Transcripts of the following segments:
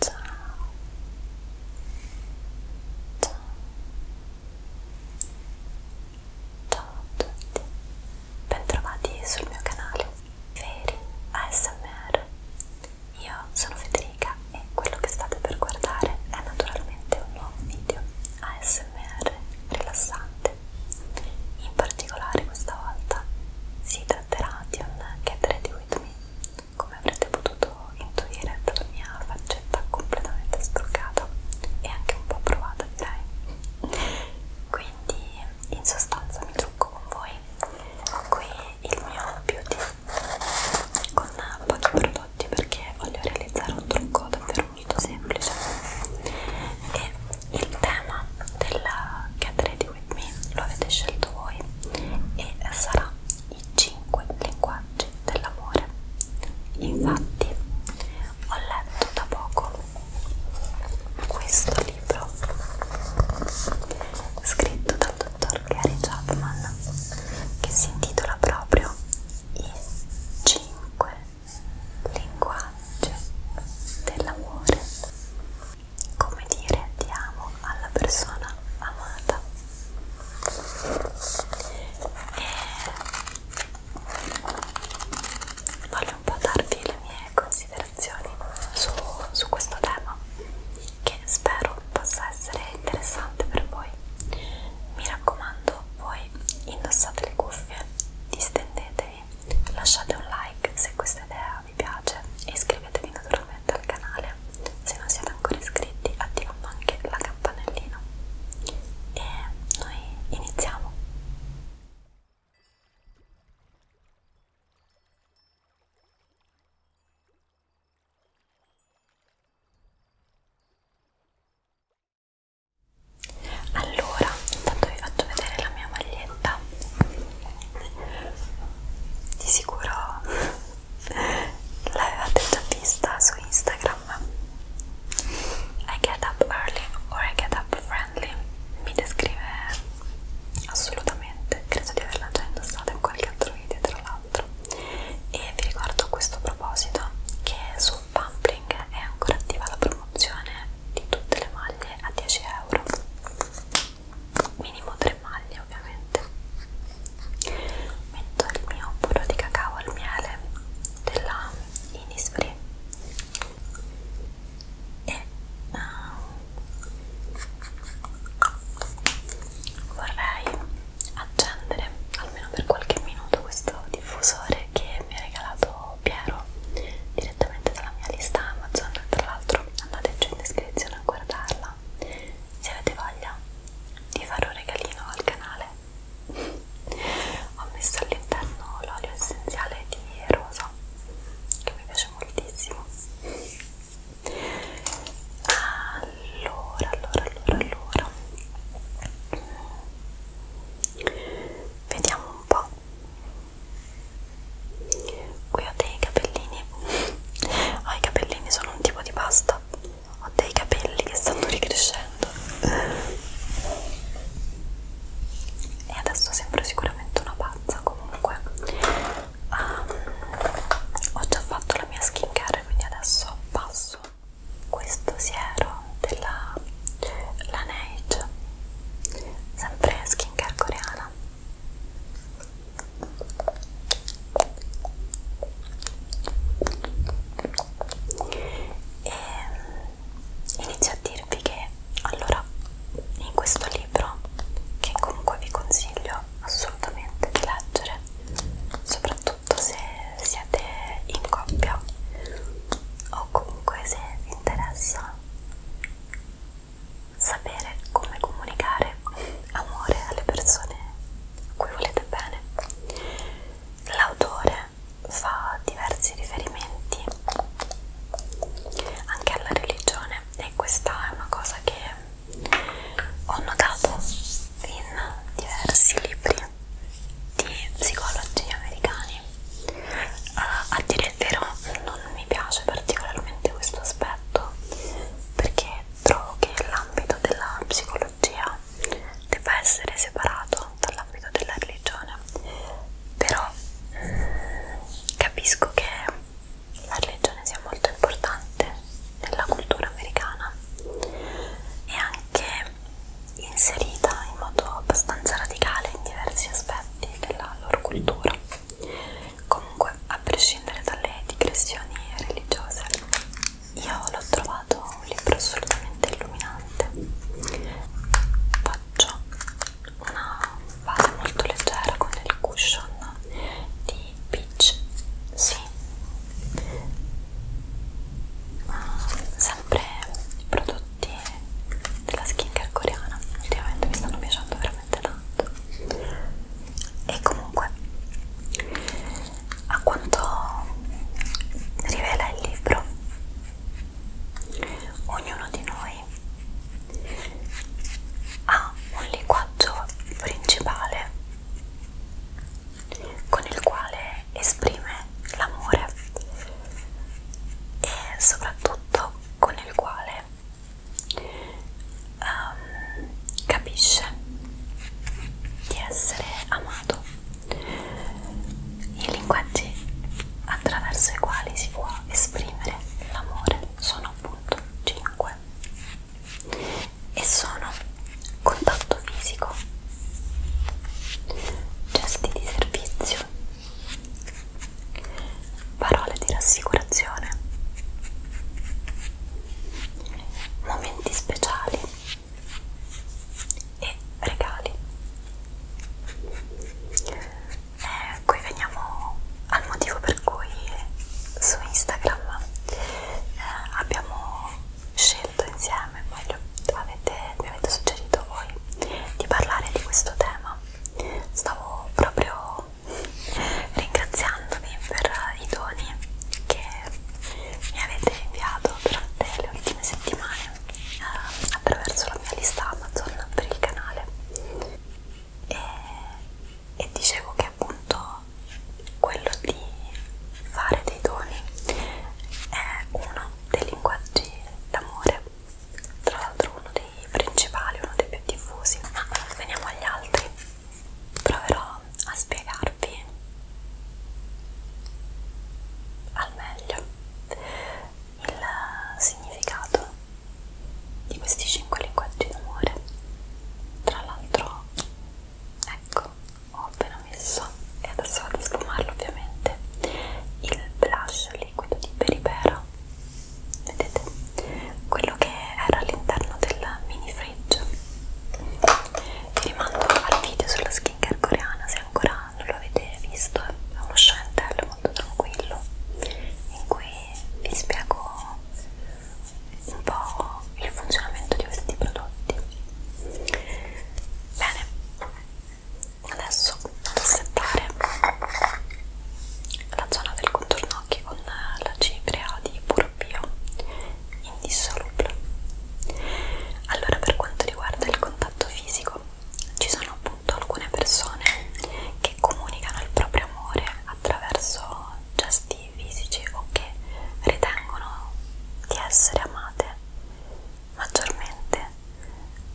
Ciao. Ciao. Ciao a tutti. Bentrovati sul mio canale Feri ASMR. Io sono Federica e quello che state per guardare è naturalmente un nuovo video ASMR rilassante. In particolare questa volta si tratterà di un Get With Me come avrete potuto intuire dalla mia faccetta completamente struccata e anche un po' provata direi quindi in sostanza mi trucco con voi qui il mio beauty con pochi prodotti perché voglio realizzare un trucco davvero molto semplice e il tema del Get Ready With Me lo avete scelto voi e sarà i 5 linguaggi dell'amore. Infatti, ho letto da poco questo libro scritto dal dottor Gary Chapman che si intitola proprio I 5 linguaggi dell'amore come dire ti amo alla persona amata e voglio un po' darvi le mie considerazioni su, su questo tema che spero possa essere interessante per voi mi raccomando voi indossate le cuffie distendetevi lasciate un like se questa idea vi piace e iscrivetevi naturalmente al canale se non siete ancora iscritti attivando anche la campanellina e noi iniziamo allora intanto vi faccio vedere la mia maglietta di sicuro l'avevate già vista su Instagram I get up early or I get up friendly mi descrive assolutamente credo di averla già indossata in qualche altro video tra l'altro e vi ricordo a questo proposito che su Pumpling è ancora attiva la promozione di tutte le maglie a 10 euro minimo tre maglie ovviamente metto il mio burro di cacao al miele della Innisfree e uh, vorrei accendere almeno per qualche minuto questo diffusore che mi ha regalato Piero direttamente dalla mia lista Amazon tra l'altro altro andateci in descrizione a guardarla se avete voglia di fare un regalino al canale ho messo all'interno l'olio essenziale di rosa che mi piace moltissimo allora allora allora allora vediamo un po' qui ho dei capellini oh, i capellini sono un tipo di pasta ho dei capelli che stanno ricrescendo e adesso sembro sicuramente una pazza comunque um, ho già fatto la mia skincare quindi adesso passo questo siero della Laneige sempre skincare coreana e inizio a dirvi che allora in questo libro che comunque vi consiglio assolutamente di leggere soprattutto se siete in coppia o comunque se vi interessa sapere come comunicare amore alle persone a cui volete bene. L'autore fa diversi riferimenti anche alla religione e questa è una cosa che ho notato in diversi libri di psicologi americani uh, a dire il vero non mi piace particolarmente questo aspetto perché trovo che l'ambito della psicologia debba essere separato dall'ambito della religione però mh, mm, capisco che la religione sia molto importante nella cultura americana e anche inserita in modo abbastanza radicale in diversi aspetti della loro cultura comunque a prescindere dalle digressioni religiose io l'ho trovato un libro assolutamente illuminante faccio una base molto leggera con il cushion di peach sì sempre prodotti della skincare coreana ultimamente mi stanno piacendo veramente veramente tanto e comunque a quanto rivela il libro ognuno di noi ha un linguaggio principale con il quale esprime l'amore e soprattutto con il quale che um, capisce di essere amato i linguaggi attraverso i quali si può esprimere l'amore sono appunto 5 e sono contatto fisico gesti di servizio parole di rassicurazione, momenti speciali e regali. E eh, qui veniamo al motivo per cui su Instagram eh, abbiamo scelto insieme, meglio avete, mi avete suggerito voi, di parlare di questo tema stavo proprio ringraziandovi per i doni che mi avete inviato durante le ultime settimane eh, attraverso la mia lista Amazon per il canale e, e dicevo che appunto quello di fare dei doni è uno dei linguaggi d'amore tra l'altro uno dei principali, uno dei più diffusi. Ma veniamo agli altri. Proverò a spiegarvi al meglio il significato di questi cinque linguaggi d'amore. Tra l'altro, ecco, ho appena messo, e adesso vado a sfumarlo ovviamente, il blush liquido di Peripera vedete quello che era all'interno del mini fridge vi rimando al video sulla skincare coreana se ancora non lo avete visto è uno scentello molto tranquillo in cui vi spiego un po' il funzionamento di questi prodotti bene adesso vado a settare la zona del contorno occhi con la cipria di puro bio indissolubile allora per quanto riguarda il contatto fisico ci sono appunto alcune persone che comunicano il proprio amore attraverso gesti fisici o che ritengono di essere amate maggiormente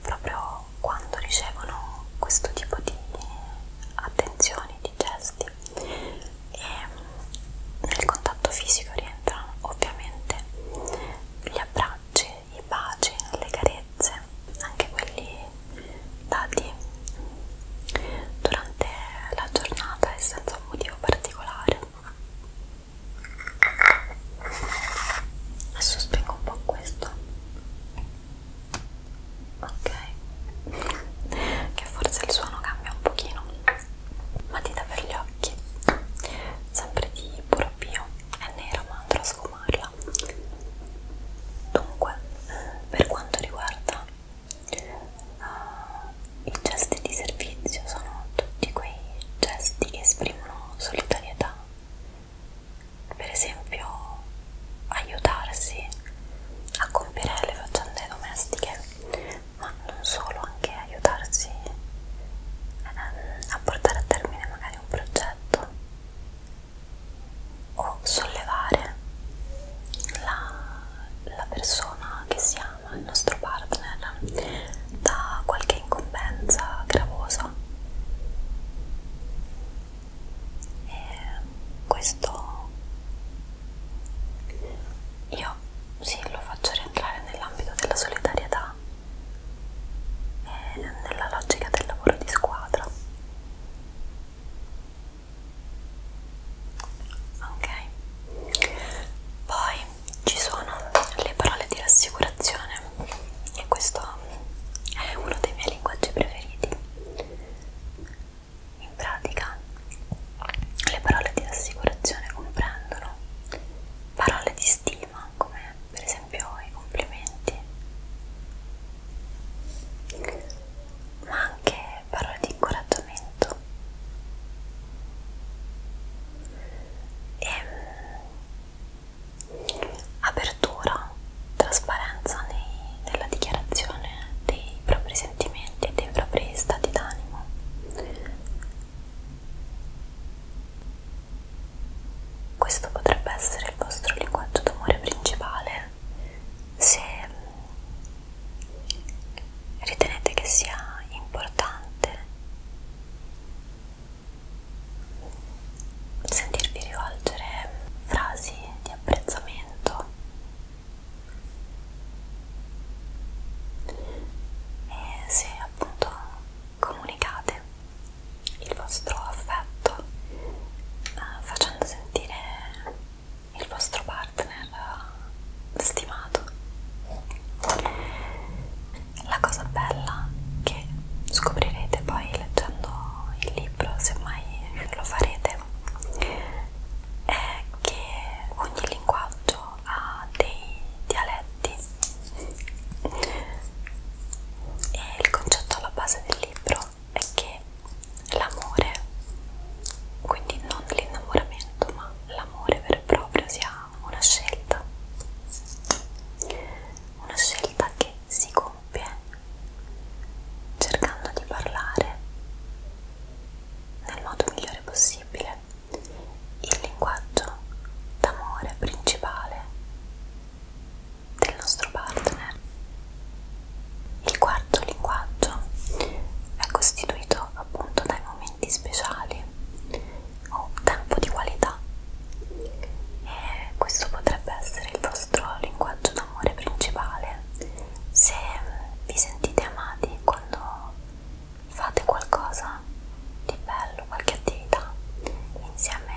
proprio però quando ricevono questo tipo di attenzioni, di gesti e mm, nel contatto fisico rientrano ovviamente gli abbracci, i baci, le carezze, anche quelli dati durante la giornata e senza un motivo particolare. Adesso spengo un po' questo ok che forse il suono cambia un pochino matita per gli occhi sempre di puro bio è nera ma andrò a sfumarla dunque per quanto riguarda uh, i gesti di servizio sono tutti quei gesti che esprimono solidarietà per esempio aiutarsi a compiere le faccende domestiche, ma non solo, anche aiutarsi ehm, a portare a termine magari un progetto o sollevare la, la persona che si ama, il nostro partner, da qualche incombenza gravosa e eh, questo io sì lo faccio rientrare nell'ambito della solidarietà e eh, nella logica del lavoro di squadra ok poi ci sono le parole di rassicurazione e questo è uno dei miei linguaggi preferiti. In pratica, le parole di assicurazione comprendono parole di stima, come per esempio i complimenti, ma anche parole di incoraggiamento. E apertura, trasparenza nei, nella dichiarazione dei propri sentimenti e dei propri stati d'animo. Questo potrebbe essere il vostro linguaggio d'amore principale se ritenete che sia importante sentirvi rivolgere frasi di apprezzamento e se appunto comunicate il vostro affetto eh, facendo sentire il vostro partner eh, stimato la cosa bella che scoprirete poi leggendo il libro, se mai lo farete, è che ogni linguaggio ha dei dialetti e il concetto alla base del libro è che l'amore, quindi non l'innamoramento, ma l'amore vero e proprio sia una scelta, una scelta che si compie cercando di parlare nel modo migliore possibile il linguaggio d'amore principale del nostro partner. Il quarto linguaggio è costituito appunto dai momenti speciali o tempo di qualità e eh, questo potrebbe essere il vostro linguaggio d'amore principale se vi sentite amati quando fate qualcosa di bello, qualche attività insieme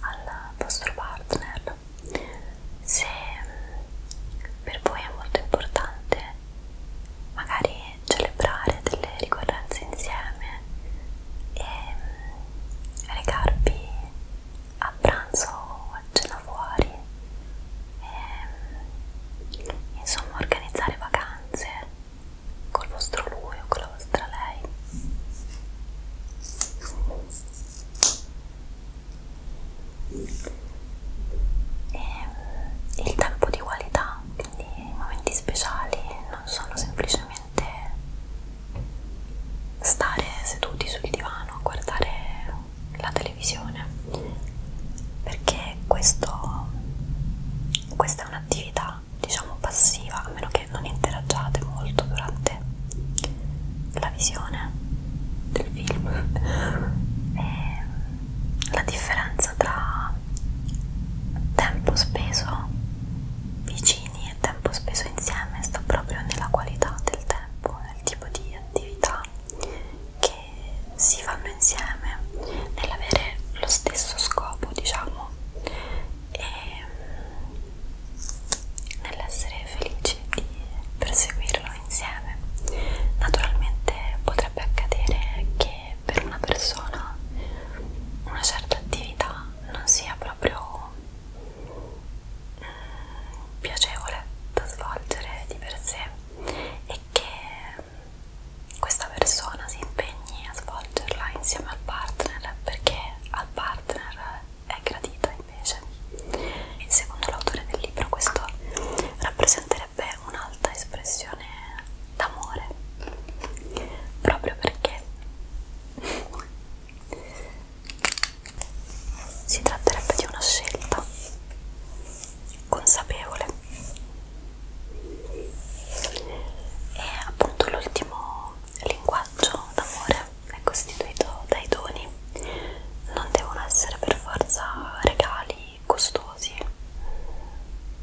al vostro partner se mm, per voi è molto importante magari celebrare delle ricorrenze insieme e mm, recarvi a pranzo o a cena fuori e, mm, insomma organizzare vacanze col vostro lui o con la vostra lei e, mm, il tempo di qualità quindi i momenti speciali non sono semplicemente semplicemente stare seduti sul divano a guardare la televisione perché questo, questa è un'attività diciamo passiva a meno che non interagiate molto durante la visione del film e la differenza tra tempo speso vicino vicini e tempo speso insieme sta proprio nella qualità del tempo, nel tipo di attività che si fanno insieme, nell'avere lo stesso scopo, diciamo, e nell'essere felici di perseguirlo insieme. Naturalmente potrebbe accadere che per una persona una certa attività non sia proprio piacevole da svolgere di per sé e che questa persona si impegni a svolgerla insieme al partner perché al partner è gradita invece e secondo l'autore del libro questo rappresenterebbe un'alta espressione d'amore proprio perché si tratterebbe di una scelta consapevole. E appunto l'ultimo linguaggio d'amore è costituito dai doni. Non devono essere per forza regali costosi.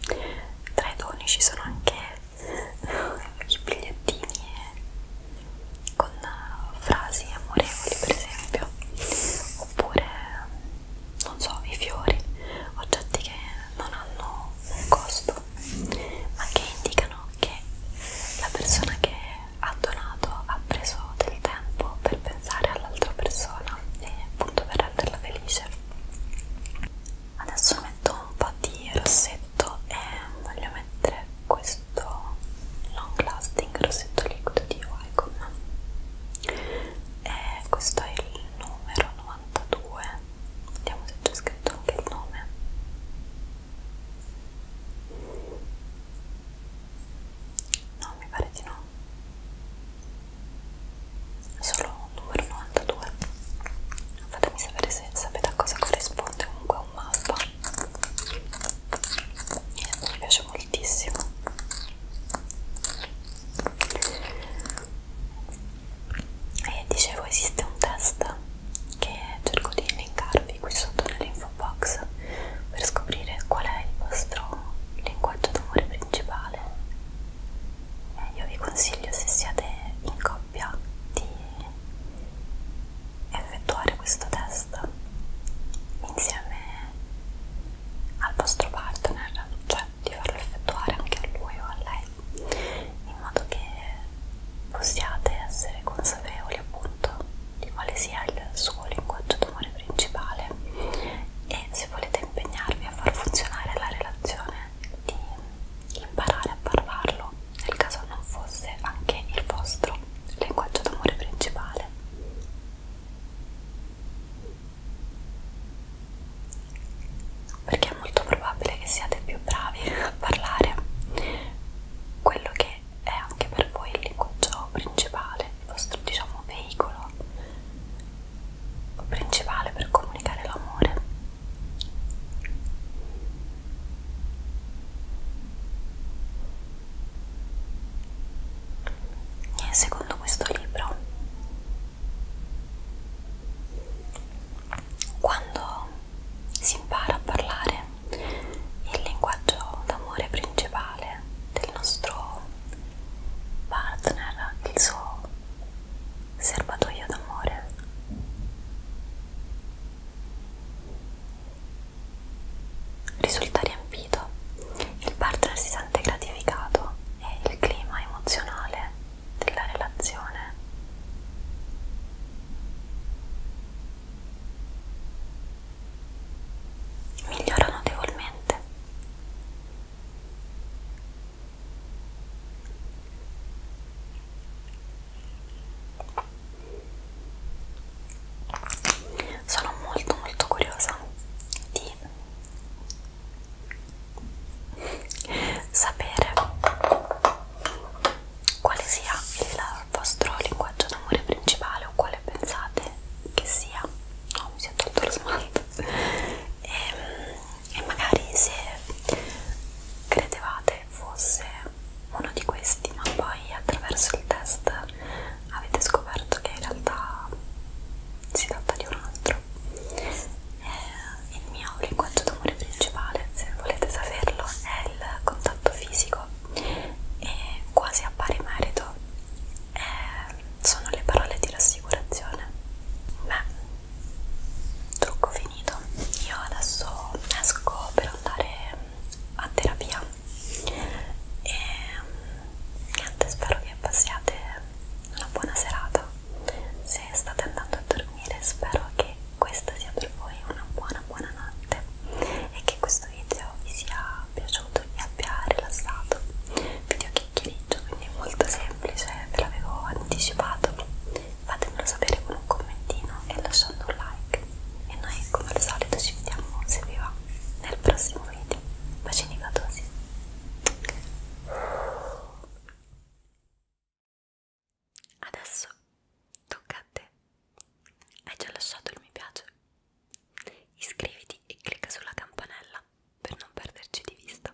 Tra i doni ci sono anche i bigliettini con frasi amorevoli per esempio oppure non so i fiori oggetti che non hanno un costo ma che indicano che la persona che ha donato ha preso del tempo per pensare all'altra persona e appunto per renderla felice adesso metto un po' di rossetto rossetto e voglio mettere questo long lasting rossetto liquido di Wycombe e questo è il numero 92 vediamo se c'è scritto anche il nome no mi pare di no è solo un numero 92 fatemi sapere se sapete a cosa corrisponde comunque un mappa eh, mi piace moltissimo e dicevo esiste un test che cerco di linkarvi qui sotto nell'info box per scoprire qual è il vostro linguaggio d'amore principale eh, io vi consiglio se siete in coppia abbia di effettuare questo test insieme al vostro partner, cioè di farlo effettuare anche a lui o a lei, in modo che possiate essere consapevoli appunto di quale sia il suo linguaggio d'amore principale e se volete impegnarvi a far funzionare la relazione di imparare a parlarlo nel caso non fosse anche il vostro linguaggio d'amore principale. Perché è molto probabile che siate più bravi a parlare quello che è anche per voi il linguaggio principale, il vostro diciamo veicolo principale per comunicare l'amore e eh, secondo questo libro, quando si impara a parlare il linguaggio d'amore principale del nostro partner, il suo serbatoio d'amore. Risulta riempito, il partner si sente gratificato e il clima emozionale della relazione migliora notevolmente sono molto molto curiosa di sapere quale sia il vostro linguaggio d'amore principale o quale pensate che sia oh, mi si è tolto lo smalto e, ehm, e magari se credevate che fosse uno di questi ma poi attraverso il test avete scoperto che in realtà si tratta di un altro eh, il mio linguaggio d'amore principale se volete saperlo è il contatto fisico e quasi a pari merito eh, sono le parole di rassicurazione beh trucco finito io adesso esco per andare a terapia e niente spero che passiate una buona serata se state andando a dormire spero che questa sia per voi una buona buona notte e che questo video vi sia piaciuto vi abbia rilassato video chiacchieriggio quindi molto semplice ve l'avevo anticipato fatemelo sapere con un commentino e lasciando un like e noi come al solito ci vediamo se vi va nel prossimo video bacini gatosi adesso tocca a te hai già lasciato il mi piace iscriviti e clicca sulla campanella per non perderci di vista